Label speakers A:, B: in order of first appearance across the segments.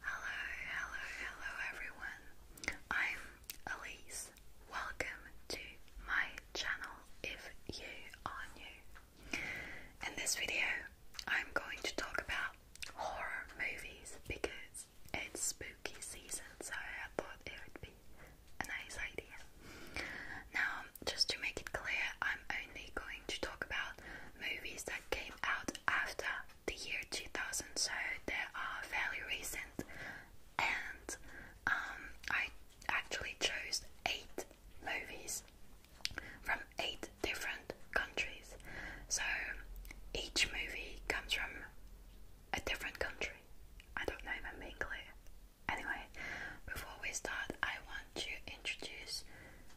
A: Hello, hello, hello everyone. I'm Elise. Welcome to my channel if you are new. In this video, I'm going to talk about horror movies because it's spooky season, so I thought it would be a nice idea. Now, just to make it clear, I'm only going to talk about movies that came out after the year 2000, so they are fairly recent. And um, I actually chose eight movies from eight different countries. So each movie comes from a different country. I don't know if I'm being clear. Anyway, before we start, I want to introduce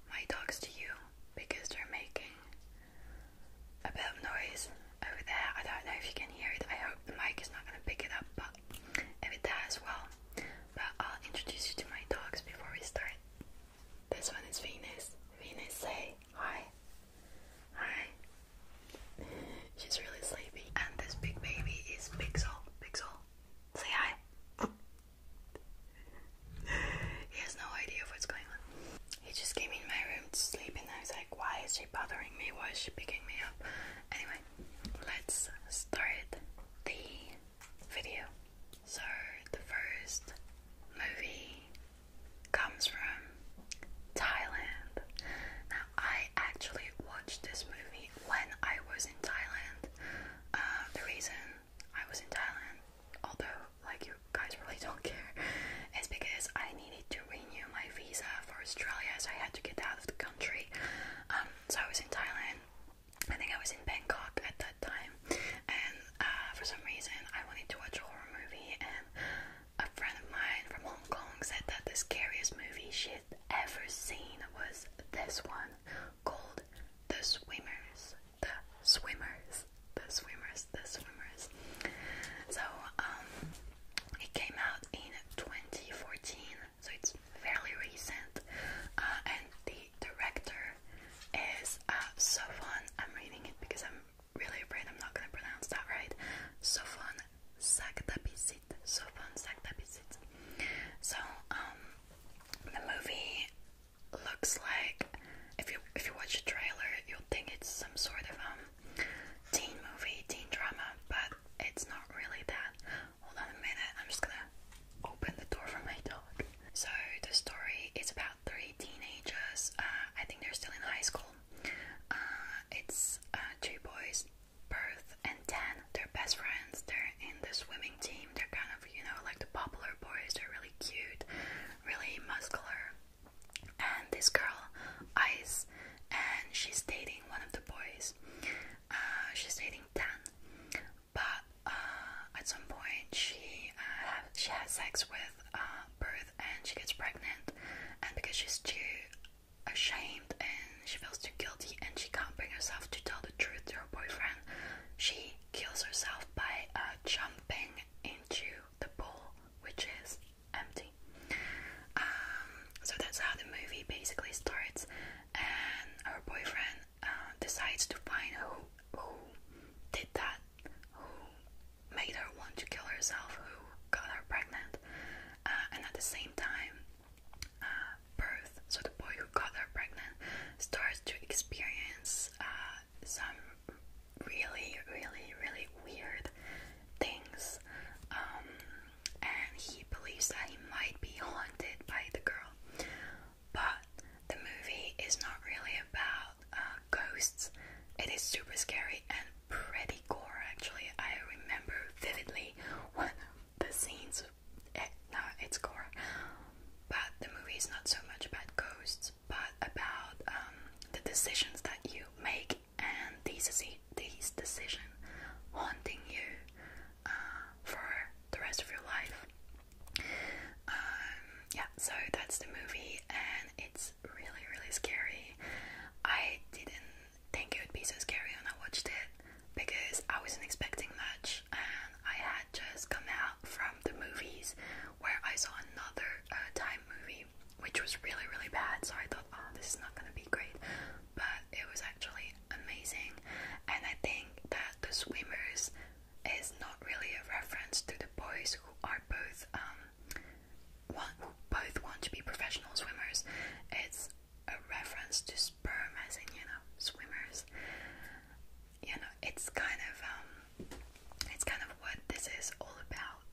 A: my dogs to you because they're making a bit of noise over there. I don't know if you can hear it. I hope the mic is not going to pick it up, but if it does, well. But I'll introduce you to my dogs before we start. This one is Venus. Venus, say hi. Hi. She's really sleepy. And this big baby is Pixel. Pixel, say hi he has no idea what's going on. He just came in my room to sleep, and I was like, Why is she bothering me? Why is she picking me up? Anyway, let's start the video. So, the first movie comes from Thailand. Now, I actually watched this movie when I was in Thailand. Uh, the reason I was in Thailand, although like you guys really don't care, It's because I needed to renew my visa for Australia, so I had to get out of the country. Um, so I was in Thailand. I think I was in Bangkok at that time, and uh, for some reason I wanted to watch a horror movie, and a friend of mine from Hong Kong said that the scariest movie she'd ever seen was this one called The Swimmers the swimmers, the swimmers, the swimmers. So um, it came out in 2014, so it's fairly recent. Uh, and the director is uh, Sofon. I'm reading it because I'm really afraid I'm not gonna pronounce that right. Sofon Saktapisit. Sofon Saktapisit. So um, the movie looks like if you if you watch the trailer you'll think it's some sort of um teen movie, teen drama, but it's not really that. Hold on a minute, I'm just gonna open the door for my dog. So the story is about three teenagers. Uh, I think they're still in high school. Uh, it's uh, two boys, Birth and Tan. They're best friends. They're in the swimming team. They're kind of, you know, like the popular boys. They're really cute, really muscular. And this girl, Ice, and she's dating one of the boys. Uh, she's dating Dan, but uh, at some point she uh, she has sex with Birth, and she gets pregnant. And because she's too ashamed and she feels too guilty, and she can't bring herself to tell the truth to her boyfriend, she kills herself by jumping into the pool, which is empty. Um, so that's how the movie basically starts, and her boyfriend uh, decides to find who who did that, who made her want to kill herself, who got her pregnant, uh, and at the same time, uh, birth. So the boy who got her pregnant starts to experience uh, some really, really, really weird things. Um, and he believes that he might be haunted by the girl. But the movie is not really about uh, ghosts. It is super scary and pretty gore, actually. I remember vividly one of the scenes. Eh, no, it's gore. But the movie is not so much about ghosts, but about um, the decisions that you make and these these decisions haunting you uh, for the rest of your life. Um, yeah, so that's the movie, and it's really really scary. I didn't think it would be so scary when I watched it because I wasn't expecting much and I had just come out from the movies where I saw another uh, time movie, which was really, really bad. So I thought, oh, this is not gonna be great, but it was actually amazing. And I think that The Swimmers is not really a reference to the boys who are both um, want, who both want to be professional swimmers. It's a reference to sperm, as in you know, swimmers you know, it's kind of um, it's kind of what this is all about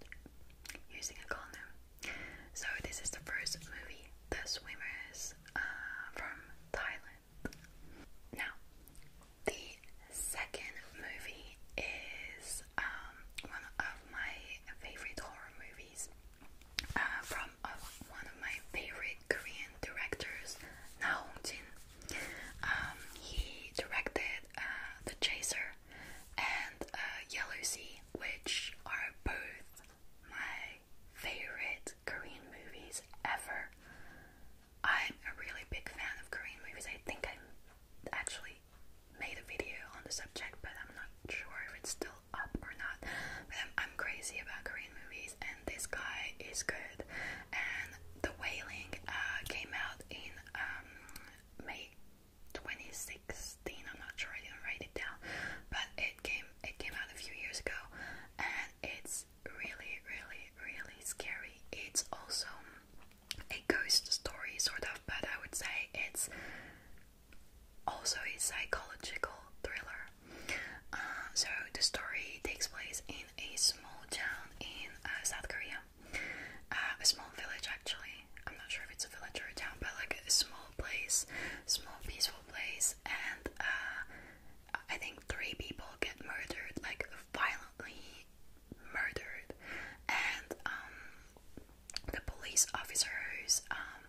A: using a condom. So this is the first movie, The Swimmers, uh, from Thailand. Now, the second movie is um, one of my favorite horror movies. Uh, from uh, one of my favorite Korean directors Na Hong Jin. Um, he directed uh, The Chaser and uh, Yellow Sea, which are both my favorite Korean movies ever. I'm a really big fan of Korean movies. I think I actually made a video on the subject, but I'm not sure if it's still up or not. But I'm crazy about Korean movies and this guy is good. And The Wailing uh, came out in um, May 2016. I'm not sure. I didn't write it down, but it came it came out a few years ago, and it's really, really, really scary. It's also a ghost story, sort of, but I would say it's also a psychological thriller uh, so the story takes place in a small town in uh, South Korea, uh, a small village actually. I'm not sure if it's a village or a town, but like a small place, small peaceful place, and I think three people get murdered, like violently murdered, and um, the police officer who's um,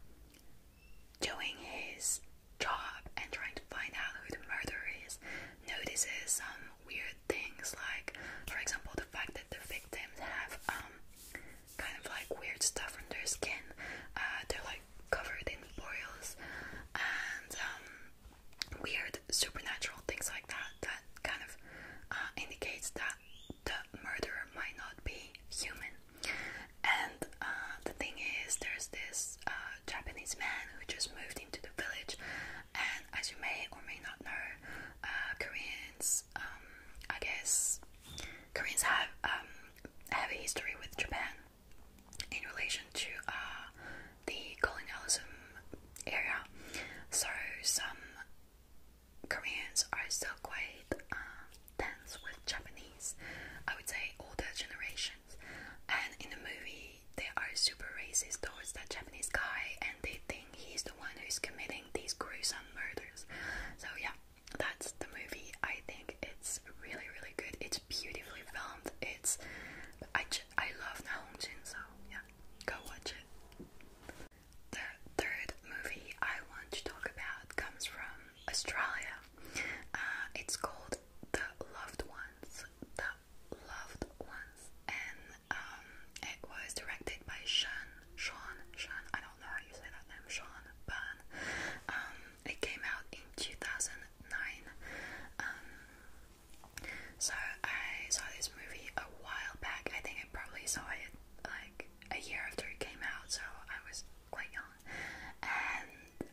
A: doing his job and trying to find out who the murderer is, notices some weird things, like, for example, the fact that the victims have um, kind of like weird stuff on their skin. Uh, they're like covered in boils and um, weird supernatural things like that. That kind of uh, indicates that the murderer might not be human. And uh, the thing is, there's this uh, Japanese man who just moved into the village. And as you may or may not know, uh, Koreans, um, I guess, Koreans have um, have a history with Japan in relation to uh, the colonialism area. So some Koreans are still quite uh, tense with Japanese. I would say older generation and in the movie, there are super racist towards that Japanese guy, and they think he's the one who's committing these gruesome murders. So, yeah, that's the movie. I think it's really, really good. It's beautifully filmed. It's. I, I love Na Hong Jin, so yeah, go watch it. The third movie I want to talk about comes from Australia. Uh, it's called The Loved Ones. The Loved Ones, and um, it was directed by Sean. Sean. Sean. I don't know how you say that name. Sean Burn. Um, it came out in 2009. Um, so I saw this movie a while back. I think I probably saw it like a year after it came out, so I was quite young. And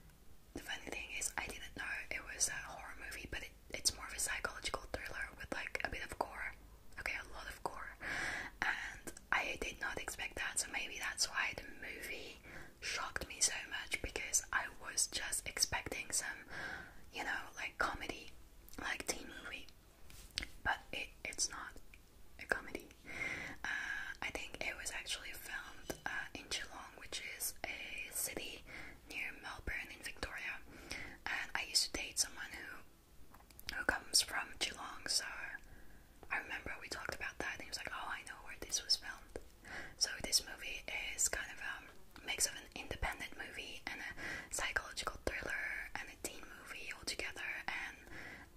A: the funny thing is, I didn't know it was a horror movie, but it, it's more of a psychological thriller with like a bit of gore. Okay, a lot of gore. And I did not expect that, so maybe that's why the movie shocked me so much because I was just expecting some, you know, like comedy, like teen movie. But it, it's not a comedy. Uh, I think it was actually filmed uh, in July which is a city near Melbourne in Victoria. And I used to date someone who who comes from Geelong, so I remember we talked about that and he was like, Oh, I know where this was filmed. So this movie is kind of a um, mix of an independent movie and a psychological thriller and a teen movie all together and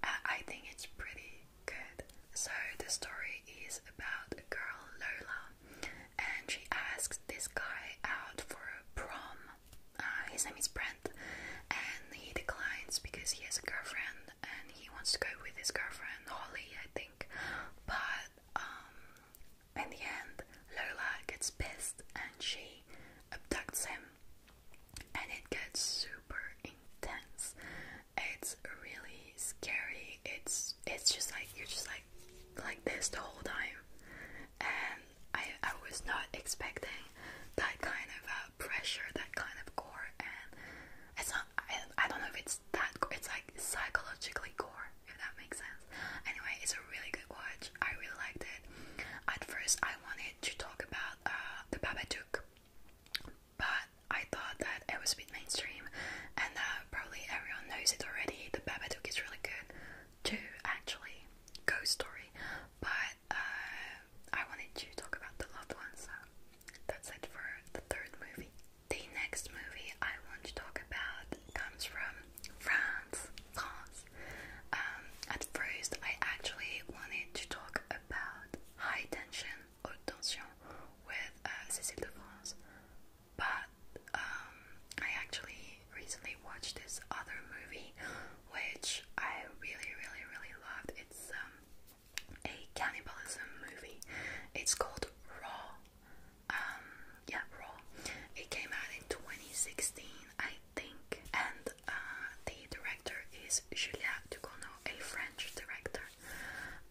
A: uh, I think it's pretty Good. So the story is about a girl, Lola, and she asks this guy out for a prom. Uh, his name is Brent, and he declines because he has a girlfriend and he wants to go with his girlfriend, Holly, I think. But um, in the end, Lola gets pissed and she abducts him, and it gets super intense. It's really scary. It's it's just like you're just like like this the whole time, and I I was not expecting that kind of uh, pressure, that kind of gore, and it's not. I, don't know if it's that. It's like psychologically gore, if that makes sense. Anyway, it's a really good watch. I really liked it. At first, I wanted to talk about uh, the Babadook but I thought that it was a bit mainstream and that probably everyone knows it already. The Babadook is really good too, actually. Ghost story. But uh, I wanted to talk about the loved ones, so that's it for the third movie. The next movie I want to talk about comes from France. France. Um, at first, I actually wanted to talk about High Tension haute with uh, Cécile de France. But um, I actually recently watched this other movie, which I really, really, really loved. It's um, a cannibalism movie. It's called Raw. Um, yeah, Raw. It came out in 2016, I think, and uh, the director is Julia Ducournau a French director.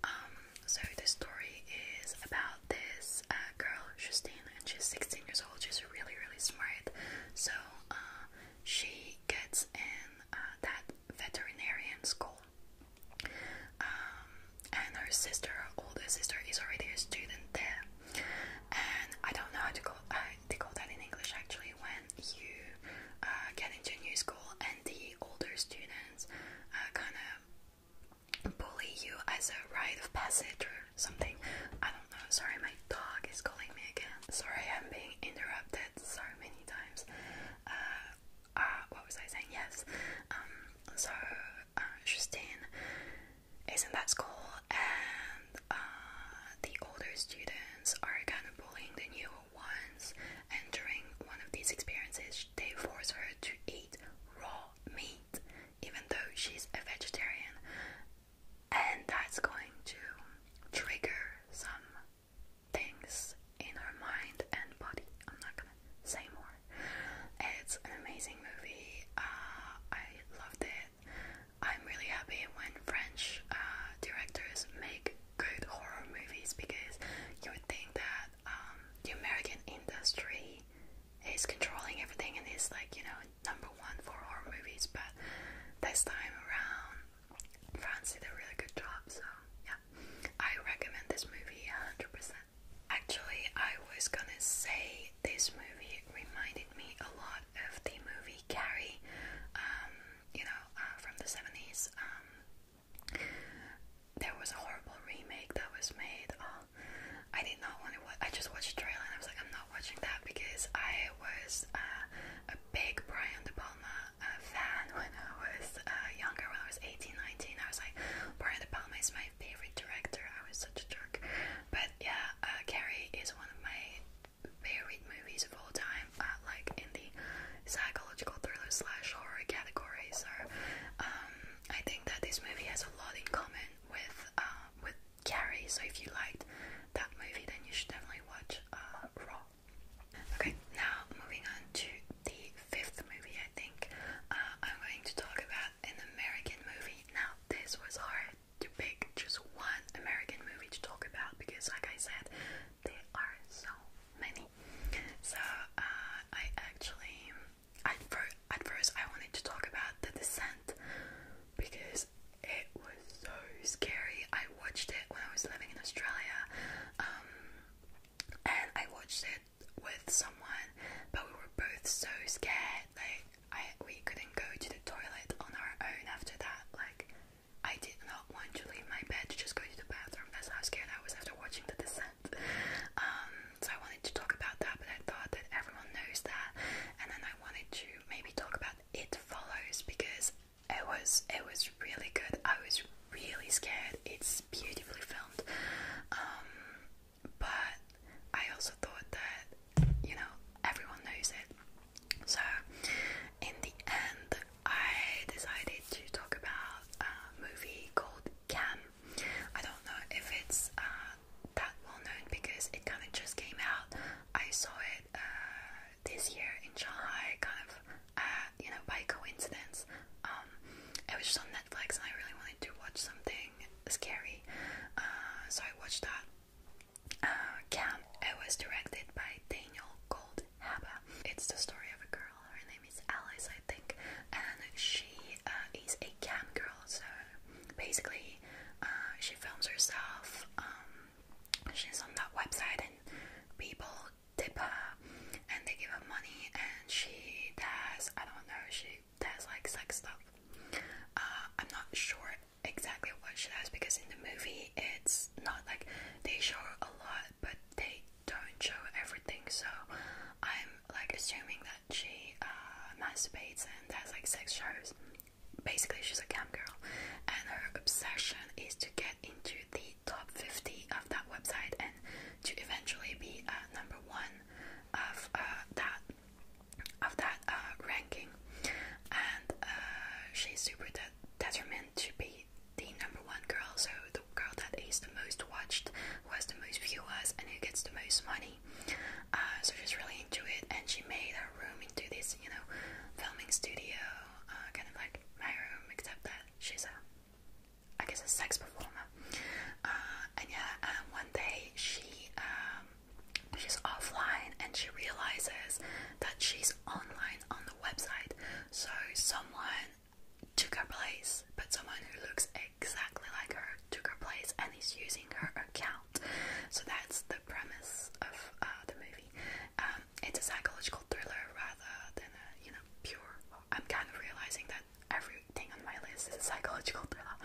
A: Um, so the story is about this uh, girl, Justine, and she's 16 years old. She's really, really smart. So uh, she gets in uh, that veterinarian school. Um, and her sister, her older sister, is already a student there. And I don't know how to call, uh, they call that in English actually when you get into a new school and the older students uh, kind of bully you as a rite of passage or something. I don't know. Sorry, my dog is calling me again. Sorry, I'm being interrupted so many times. Uh, uh what was I saying? Yes. Um, so, uh, is not that cool? and uh, the older students are kind of bullying the new once and during one of these experiences they force her to eat raw meat even though she's a vegetarian and that's going to trigger some things in her mind and body. I'm not gonna say more. It's an amazing movie. Uh, I loved it. I'm really happy when French uh, directors make good horror movies because you would think that um, the American industry is controlling everything and is like, you know, number one for horror movies, but this time around, France did a really good job, so yeah, I recommend this movie 100%. Actually, I was gonna say this movie reminded me a lot of the movie Carrie, um, you know, uh, from the 70s. Um, there was a horrible remake that was made. Uh, I did not want to watch. I just watched the trailer and I was like, I'm not watching that because I was uh, a big Brian De Palma uh, fan when I was younger, when I was 18, 19. I was like, Brian De Palma is my favorite director. I was such a jerk. But yeah, Carrie is one of my favorite movies of all time uh, like in the psychological thriller slash horror category. So um, I think that this movie has a lot in common with uh, with Carrie. So if you liked that movie, then you should definitely watch uh, Raw. Okay, now moving on to the fifth movie. I think uh, I'm going to talk about an American movie. Now this was hard to pick just one American movie to talk about because, like I said, there are so many. So uh, I actually, at, fir at first, I wanted to talk about the descent because it was so scary. I watched it when I was living in Australia, um, and I watched it with someone, but we were both so scared. Like I, we couldn't go to the toilet on our own after that. Like I did not want to leave my bed to just go to the bathroom. That's how scared I was after watching The Descent. Um, so I wanted to talk about that, but I thought that everyone knows that, and then I wanted to maybe talk about It Follows because it was it was really good. I was really scared. It's beautifully filmed, um, but I also thought that you know everyone knows it. So in the end, I decided to talk about a movie called Cam. I don't know if it's uh, that well known because it kind of just came out. I saw it uh, this year in Shanghai, kind of uh, you know by coincidence. Um, it was just on Netflix, and I really wanted to watch something scary, so I watched that. Cam. It was directed by Daniel Gold Haba. It's the story of a girl. Her name is Alice, I think, and she uh, is a cam girl. So basically, uh, she films herself. Um, she's on that website, and people tip her, and they give her money, and she does. I don't know. She does like sex stuff. Uh, I'm not sure exactly what she does because in the movie it's not like they show a lot but they don't show everything so I'm like assuming that she uh, masturbates and has like sex shows basically she's a cam girl and her obsession is to get into the top 50 of that website and to eventually be uh, number one of uh, that of that uh, ranking and uh, she's super determined to be the number one girl, so the girl that is the most watched, who has the most viewers, and who gets the most money. Uh, so she's really into it, and she made her room into this, you know, filming studio, uh, kind of like my room, except that she's a, I guess, a sex performer. Uh, and yeah, um, one day she, um, she's offline, and she realizes that she's online on the website. So someone took her place, but someone who looks exactly like her took her place and is using her account. So that's the premise of uh, the movie. Um, it's a psychological thriller rather than a you know pure. I'm kind of realizing that everything on my list is a psychological thriller.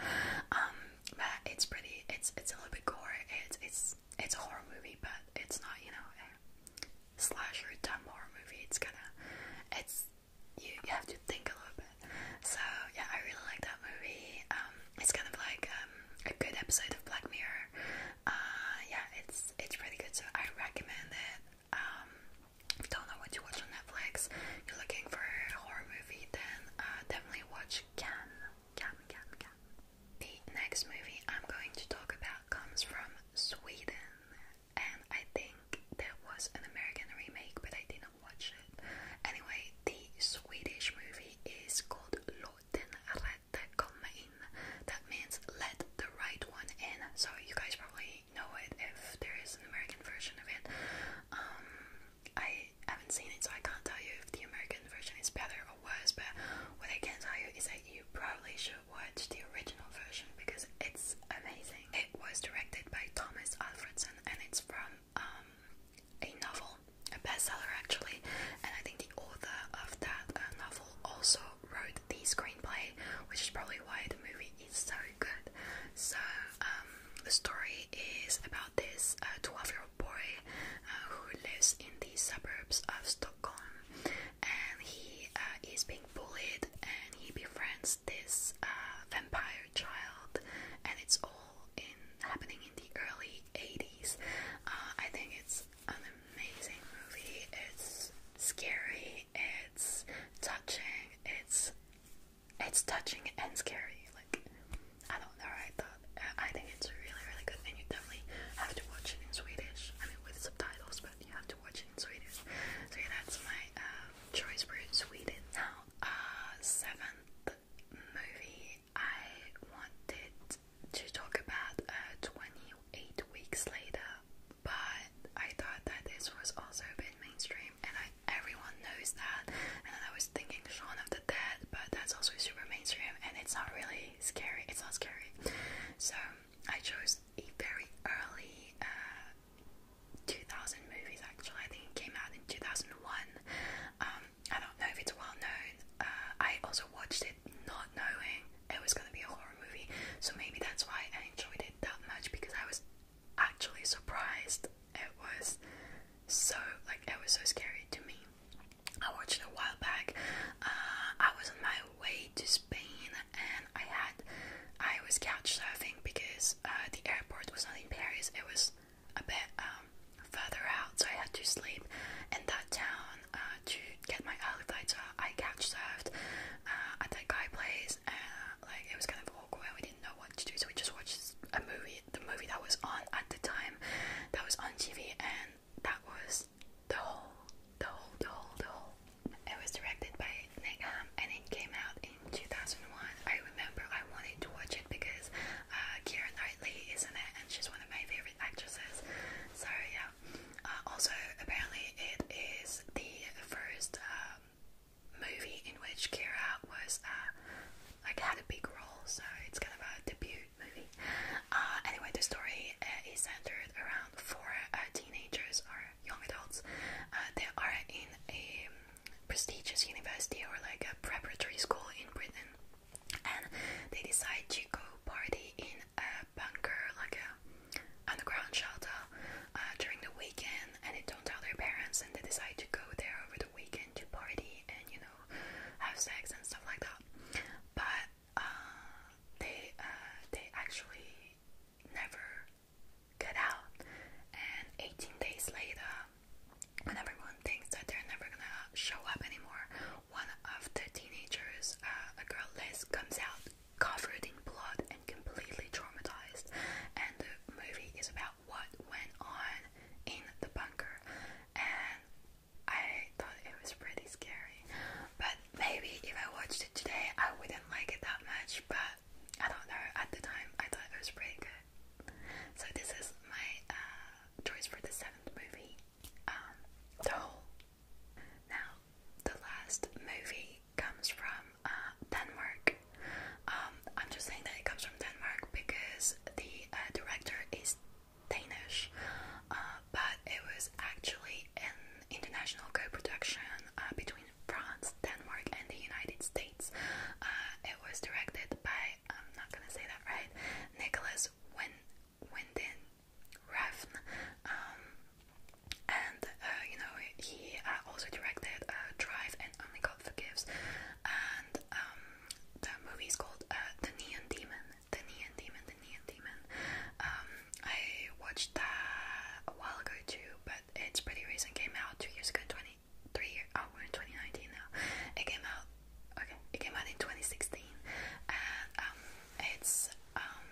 A: Um, but it's pretty. It's it's a little bit gore. It's it's it's a horror movie, but it's not you know slasher dumb horror movie. It's kind of it's you, have to think a little bit. So yeah, I really like that movie. Um, it's kind of like um, a good episode of Black Mirror. Uh, yeah, it's it's pretty good. So I recommend it. Um, if you don't know what to watch on Netflix, you're looking for a horror movie, then uh, definitely watch Cam Cam Cam Can. The next movie I'm going to talk about comes from Sweden, and I think there was an American remake, but I did not watch it. Anyway, the Swedish movie is called Låt den rätta komma in. That means let the right one in. So you guys probably know it if there is an American version of it. Um, I haven't seen it, so I can't tell you if the American version is better or worse. But what I can tell you is that you probably should watch the original version because it's amazing. It was directed by Thomas Alfredson and it's from um, a novel, a bestseller actually. And I think the author of that uh, novel also wrote the screenplay, which is probably why the movie is so good. So, um, the story is about this uh, 12 year old boy uh, who lives in the suburbs of Stockholm and he uh, is being bullied and he befriends this uh, vampire child and it's all in happening in the early 80s uh, I think it's an amazing movie it's scary it's touching it's it's touching and scary like I don't know I thought I think it's really really good and you I have to watch it in Swedish. I mean, with subtitles, but you have to watch it in Swedish. So that's my um, choice for Sweden. Now, uh, seventh movie I wanted to talk about uh, 28 Weeks Later, but I thought that this was also a bit mainstream, and everyone knows that. And I was thinking Shaun of the Dead, but that's also super mainstream, and it's not really scary. It's not scary. So I chose a very early uh, 2000 movies. Actually, I think it came out in 2001. Um, I don't know if it's well known. Uh, I also watched it not knowing it was gonna be a horror movie, so maybe that's why I enjoyed it that much because I was actually surprised. It was so like it was so scary to me. I watched it a while back. Uh, I was on my way to Spain and I had I was couch surfing because uh, the airport was not in Paris. It was a bit um, further out, so I had to sleep in that town uh, to get my early flight. So I couch surfed uh, at that guy place, like it was kind of awkward. We didn't know what to do, so we just watched a movie, the movie that was on at the time, that was on TV, and that was the whole, the whole, the whole, the whole. It was directed by Nick Ham and it came out in 2001. I remember I wanted to watch it because uh, Knightley is in it and she's one of my favorite actresses. So, yeah. Uh, also, apparently, it is the first um, movie in which Kira was uh, like had a big role, so it's kind of a debut cute movie. Uh, anyway, the story uh, is centered around four uh, teenagers or young adults. Uh, they are in a um, prestigious university or like a preparatory school in Britain, and they decide to go party in a bunker, like a underground shelter, uh, during the weekend. And they don't tell their parents, and they decide to go there over the weekend to party and you know have sex and stuff like that. But uh, they uh, they actually never get out. And 18 days later, when everyone thinks that they're never gonna show up anymore, one of the teenagers, uh, a girl Liz, comes out covered in blood and completely traumatized. And the movie is about what went on in the bunker. And I thought it was pretty scary, but maybe if I watched it today, I wouldn't like it that much. But I don't know. At the time, I thought it was pretty good. So this is my uh, choice for the seventh movie, um, The Hole. Now, the last movie comes from uh, Denmark. Um, I'm just saying that it comes from Denmark because the uh, director is Danish, uh, but it was actually an international co-production uh, between France, Denmark, and the United States. Uh, it was directed by I'm not gonna say that right, Nicholas Win Winden Refn, um, and you know he also directed Drive and Only God Forgives, and um, the movie is called The Neon Demon. The Neon Demon, The Neon Demon. Um, I watched that a while ago too, but it's pretty recent. Came out two years ago, twenty three. Year, oh, we're in twenty nineteen now. It came out. Okay, it came out in twenty sixteen, and um, it's um,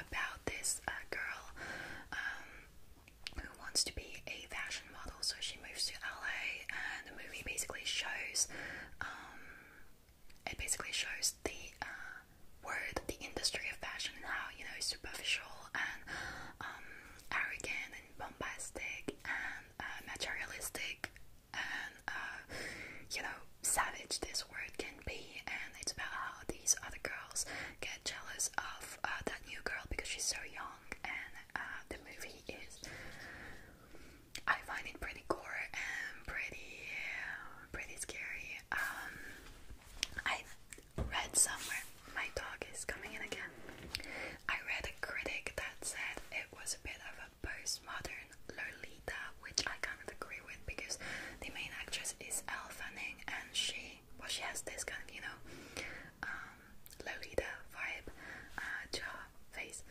A: about this uh, girl who wants to be a fashion model, so she moves to LA, and the movie basically shows it basically shows the uh, world, the industry of fashion, and how you know it's superficial and um, arrogant and bombastic and uh, materialistic and uh, you know savage this world can be. And it's about how these other girls get jealous of that new girl because she's so young. And the movie is I find it pretty gore and pretty, pretty scary. Um, I read somewhere my dog is coming in again. I read a critic that said it was a bit of a postmodern Lolita, which I kind of agree with because the main actress is Elle Fanning, and she well, she has this kind of you know um, Lolita vibe uh, face,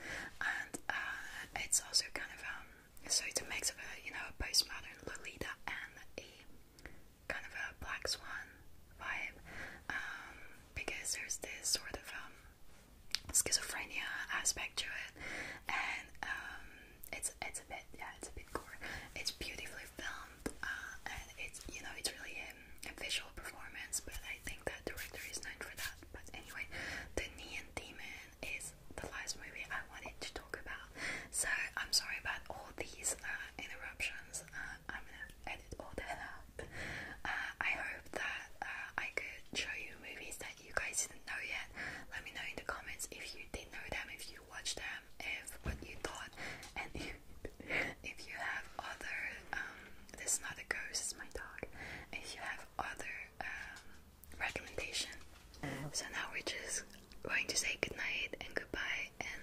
A: and uh, it's also kind of um, so a mix of a you know postmodern Lolita and a kind of a Black Swan vibe, um, because there's this sort of um, schizophrenia aspect to it, and um, it's it's a bit yeah it's a bit gore. It's beautifully filmed, uh, and it's you know it's really a, a visual performance, but I think that director is known for that. But anyway, the Neon Demon is the last movie I wanted to talk about. So I'm sorry about all these uh, interruptions. Uh, I'm gonna edit all that out. Uh, I hope that I could show you movies that you guys didn't know yet. Let me know in the comments if you did know them, if you watched them, if what you thought, and if, if you have other. Um, this is not a ghost, it's my dog. If you have other um, recommendation. So now we're just going to say goodnight and goodbye and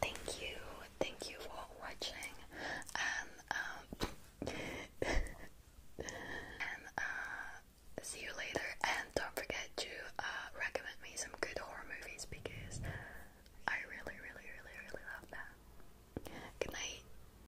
A: thank you, thank you for watching and um, uh, see you later and don't forget to uh, recommend me some good horror movies because I really really really really love that. Good night